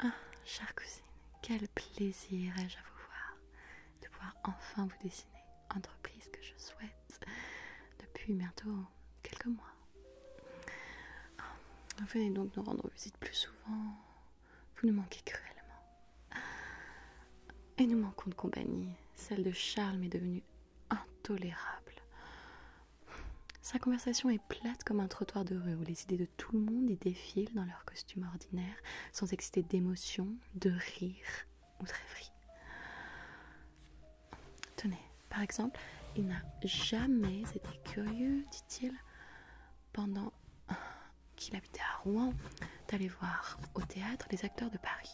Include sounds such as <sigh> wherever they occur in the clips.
Ah, chère cousine, quel plaisir ai-je à vous voir, de pouvoir enfin vous dessiner, entreprise que je souhaite depuis bientôt quelques mois. Ah, venez donc nous rendre visite plus souvent, vous nous manquez cruellement. Et nous manquons de compagnie, celle de Charles m'est devenue intolérable. Sa conversation est plate comme un trottoir de rue où les idées de tout le monde y défile dans leur costume ordinaire, sans exciter d'émotion, de rire ou de rêverie. Tenez, par exemple, il n'a jamais été curieux, dit-il, pendant qu'il habitait à Rouen, d'aller voir au théâtre les acteurs de Paris.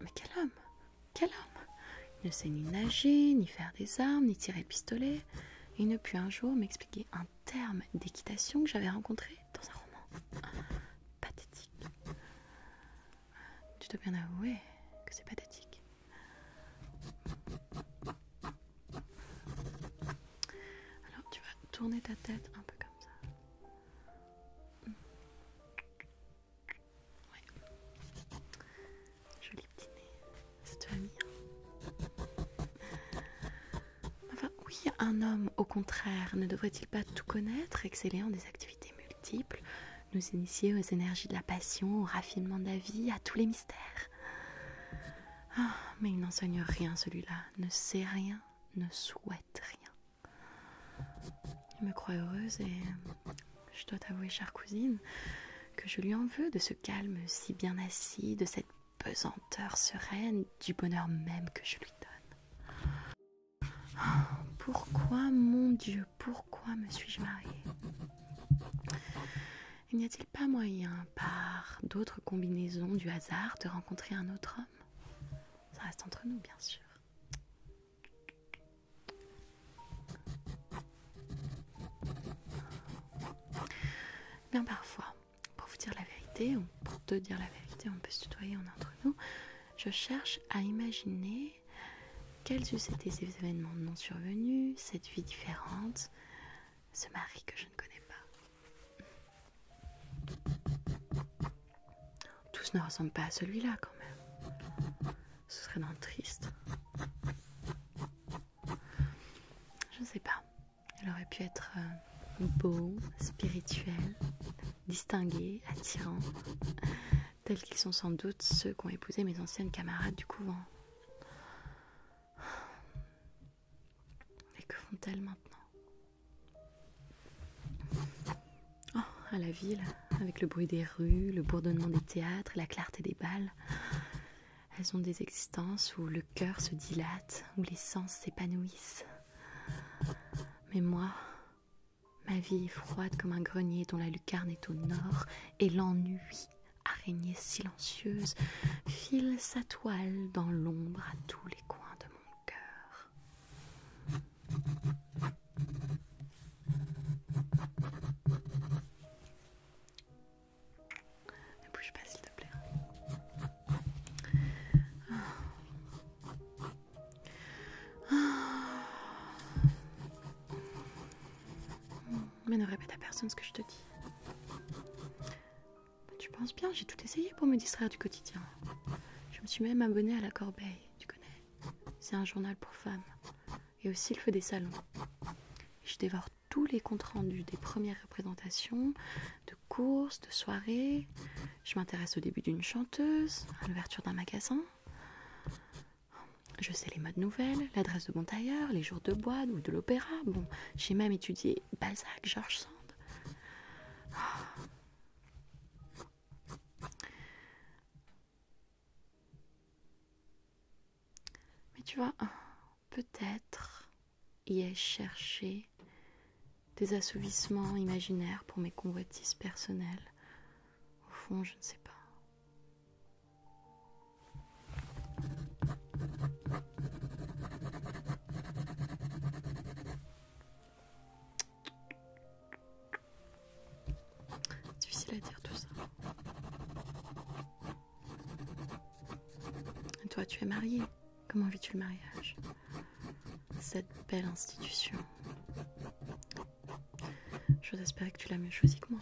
Mais quel homme quel homme Il ne sait ni nager, ni faire des armes, ni tirer pistolet. Il ne put un jour m'expliquer un terme d'équitation que j'avais rencontré dans un roman. Ah, pathétique. Tu dois bien avouer que c'est pathétique. Alors tu vas tourner ta tête un peu comme ça. Joli petit nez. oui, un homme, au contraire, ne devrait-il pas tout connaître, exceller en des activités multiples, nous initier aux énergies de la passion, au raffinement de la vie, à tous les mystères ah, mais il n'enseigne rien celui-là, ne sait rien, ne souhaite rien. Il me croit heureuse et je dois t'avouer, chère cousine, que je lui en veux de ce calme si bien assis, de cette pesanteur sereine, du bonheur même que je lui donne. Oh, pourquoi, mon Dieu, pourquoi me suis-je mariée n'y a-t-il pas moyen, par d'autres combinaisons du hasard, de rencontrer un autre homme Ça reste entre nous, bien sûr. Bien parfois, pour vous dire la vérité, pour te dire la vérité, on peut se tutoyer en entre nous, je cherche à imaginer quels eussent été ces événements non survenus, cette vie différente, ce mari que je ne connais pas. Tous ne ressemblent pas à celui-là quand même. Ce serait dans triste. Je ne sais pas. Elle aurait pu être euh, beau, spirituel, distingué, attirant, tels qu'ils sont sans doute ceux qu'ont épousé mes anciennes camarades du couvent. Et que font-elles maintenant Oh, à la ville, avec le bruit des rues, le bourdonnement des théâtres et la clarté des balles. Elles ont des existences où le cœur se dilate, où les sens s'épanouissent. Mais moi, ma vie est froide comme un grenier dont la lucarne est au nord, et l'ennui, araignée silencieuse, file sa toile dans l'ombre à tous les coins de mon cœur. Ne bouge pas s'il te plaît. Mais ne répète à personne ce que je te dis. Tu penses bien, j'ai tout essayé pour me distraire du quotidien. Je me suis même abonnée à la corbeille tu connais C'est un journal pour femmes. Et aussi le feu des salons. Je dévore tous les comptes rendus des premières représentations, de courses, de soirées. Je m'intéresse au début d'une chanteuse, à l'ouverture d'un magasin. Je sais les modes nouvelles, l'adresse de mon tailleur, les jours de boîte ou de l'opéra. Bon, j'ai même étudié Balzac, Georges Sand. Ah. Mais tu vois, peut-être y ai-je cherché des assouvissements imaginaires pour mes convoitises personnelles. Au fond, je ne sais pas. Difficile à dire tout ça. toi, tu es mariée. Comment vis-tu le mariage Cette belle institution. J'ose espérer que tu l'as mieux choisi que moi.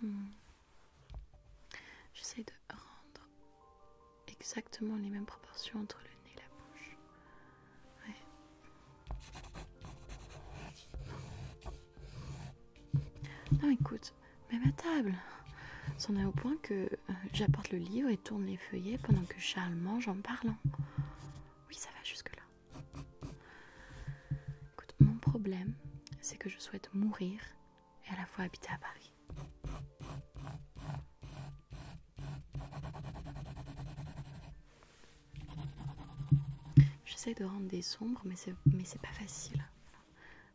Hmm. J'essaie de rendre exactement les mêmes proportions entre le nez et la bouche. Non, écoute, même à table. C'en est au point que euh, j'apporte le livre et tourne les feuillets pendant que Charles mange en parlant. Oui, ça va jusque-là. Écoute, mon problème, c'est que je souhaite mourir et à la fois habiter à Paris. J'essaie de rendre des sombres mais c'est pas facile.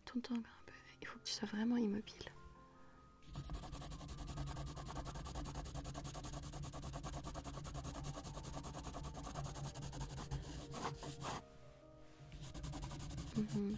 Ton temps Il faut que tu sois vraiment immobile. Mhm.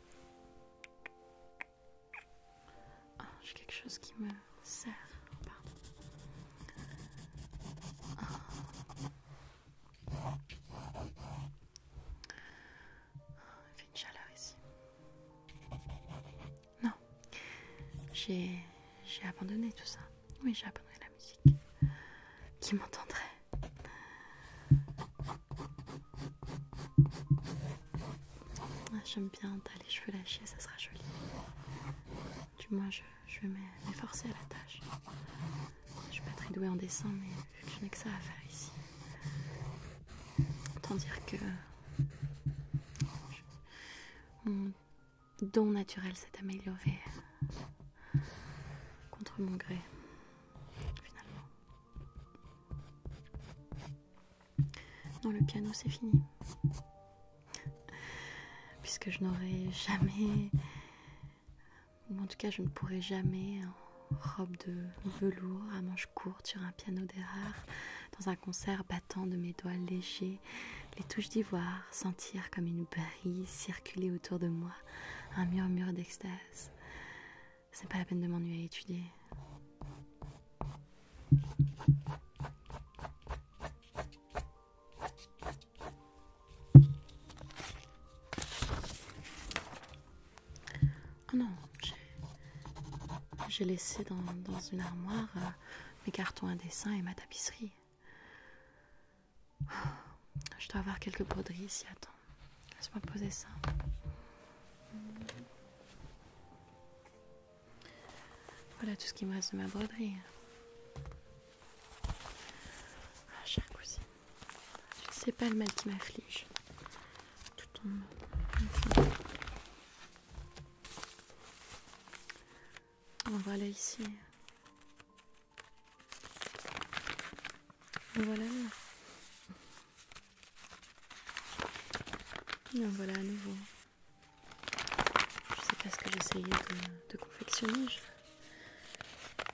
Ah, j'ai quelque chose qui me sert. Ah. Ah, il fait une chaleur ici. Non, j'ai abandonné tout ça. Oui, j'ai abandonné la musique. Qui m'entendrait ah, j'aime bien, t'as les cheveux lâchés, ça sera joli. Du moins, je, vais m'efforcer à la tâche. Je suis pas très douée en dessin, mais je n'ai que ça à faire ici. Autant dire que mon don naturel s'est amélioré contre mon gré finalement. Non, le piano c'est fini. Puisque je n'aurai jamais, en tout cas je ne pourrai jamais, en robe de velours à manches courtes sur un piano d'erreur, dans un concert battant de mes doigts légers les touches d'ivoire, sentir comme une brise circuler autour de moi un murmure d'extase. C'est pas la peine de m'ennuyer à étudier. Oh non, j'ai laissé dans, une armoire euh, mes cartons à dessin et ma tapisserie. Je dois avoir quelques broderies ici, attends. Laisse-moi poser ça. Voilà tout ce qui me reste de ma broderie. Ah, cher cousin, c'est pas le mal qui m'afflige. Tout tombe. voilà ici. Voilà. Ben voilà à nouveau. Je sais pas ce que j'essayais de, confectionner.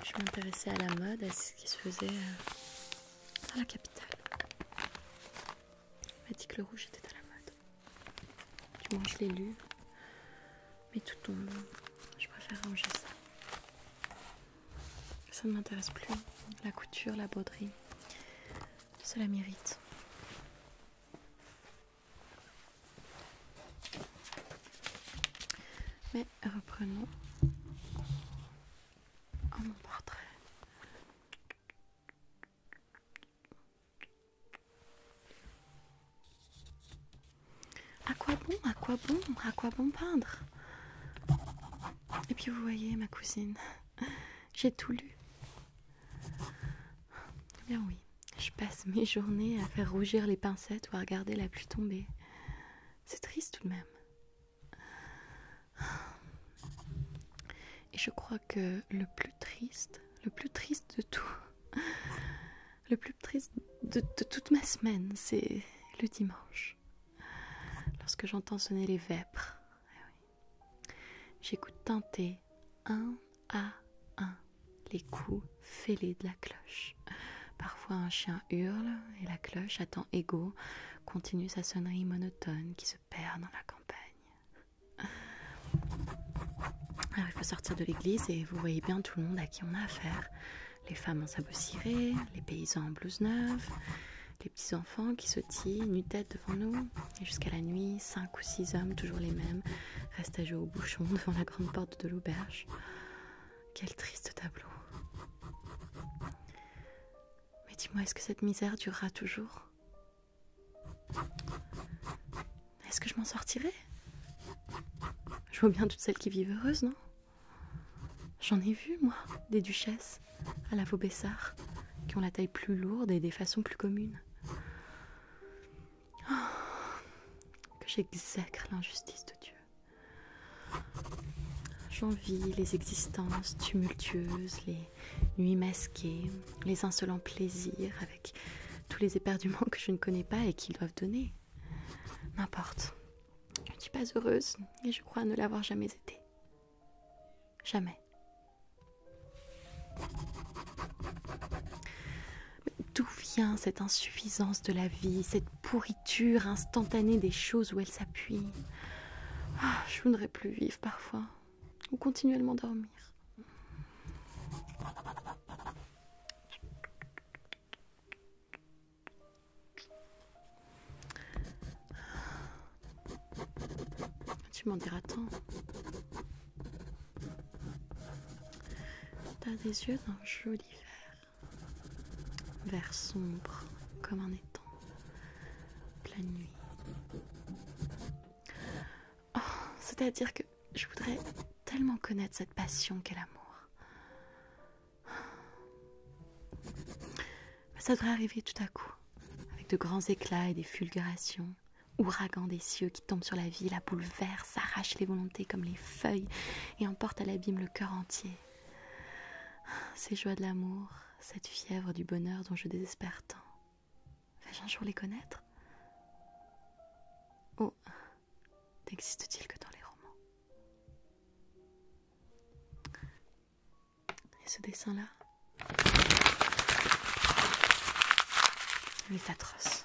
Je, m'intéressais à la mode, à ce qui se faisait dans euh, la capitale. On m'a dit que le rouge était à la mode. Du moins, je l'ai lu. Mais tout tombe. Je préfère ranger ça. Ça ne m'intéresse plus. La couture, la bauderie, cela m'irrite. Mais reprenons mon portrait. À quoi bon À quoi bon À quoi bon peindre Et puis vous voyez, ma cousine, <laughs> j'ai tout lu. Eh bien oui, je passe <laughs> mes journées à faire rougir les pincettes ou à regarder la pluie tomber. C'est triste tout de même. Et je crois que le plus triste, le plus triste de tout, <laughs> le plus triste de, toute ma semaine, c'est le dimanche. Lorsque j'entends sonner les vêpres, ah j'écoute tenter un à un les coups fêlés de la cloche. Parfois un chien hurle et la cloche, à temps égaux, continue sa sonnerie monotone qui se perd dans la campagne. Alors ah il faut sortir de l'église et vous voyez bien tout le monde à qui on a affaire les femmes en sabots cirés, les paysans en blouse neuve, les petits enfants qui sautillent nu tête devant nous. Et jusqu'à la nuit, cinq ou six hommes, toujours les mêmes, restent à jouer au bouchon devant la grande porte de l'auberge. Quel triste tableau. Mais dis-moi, est-ce que cette misère durera toujours Est-ce que je m'en sortirai Je vois bien toutes celles qui vivent heureuses, non J'en ai vu, moi, des duchesses à la Vaubessard qui ont la taille plus lourde et des façons plus communes. Oh, que j'exècre l'injustice de Dieu. J'envie les existences tumultueuses, les nuits masquées, les insolents plaisirs avec tous les éperduments que je ne connais pas et qu'ils doivent donner. N'importe. Je ne suis pas heureuse et je crois ne l'avoir jamais été. Jamais. D'où vient cette insuffisance de la vie, cette pourriture instantanée des choses où elle s'appuie ah, Je voudrais plus vivre parfois, ou continuellement dormir. Tu m'en diras tant. T'as des yeux d'un joli vert, vert sombre comme un étang, pleine nuit. Oh, c'est-à-dire que je voudrais tellement connaître cette passion qu'est l'amour. Bah, ça devrait arriver tout à coup, avec de grands éclats et des fulgurations, ouragan des cieux qui tombe sur la vie, la bouleverse, arrache les volontés comme les feuilles et emporte à l'abîme le cœur entier. Ces joies de l'amour, cette fièvre du bonheur dont je désespère tant. Vais-je un jour les connaître Oh n'existe-t-il que dans les romans Et ce dessin-là Il est atroce.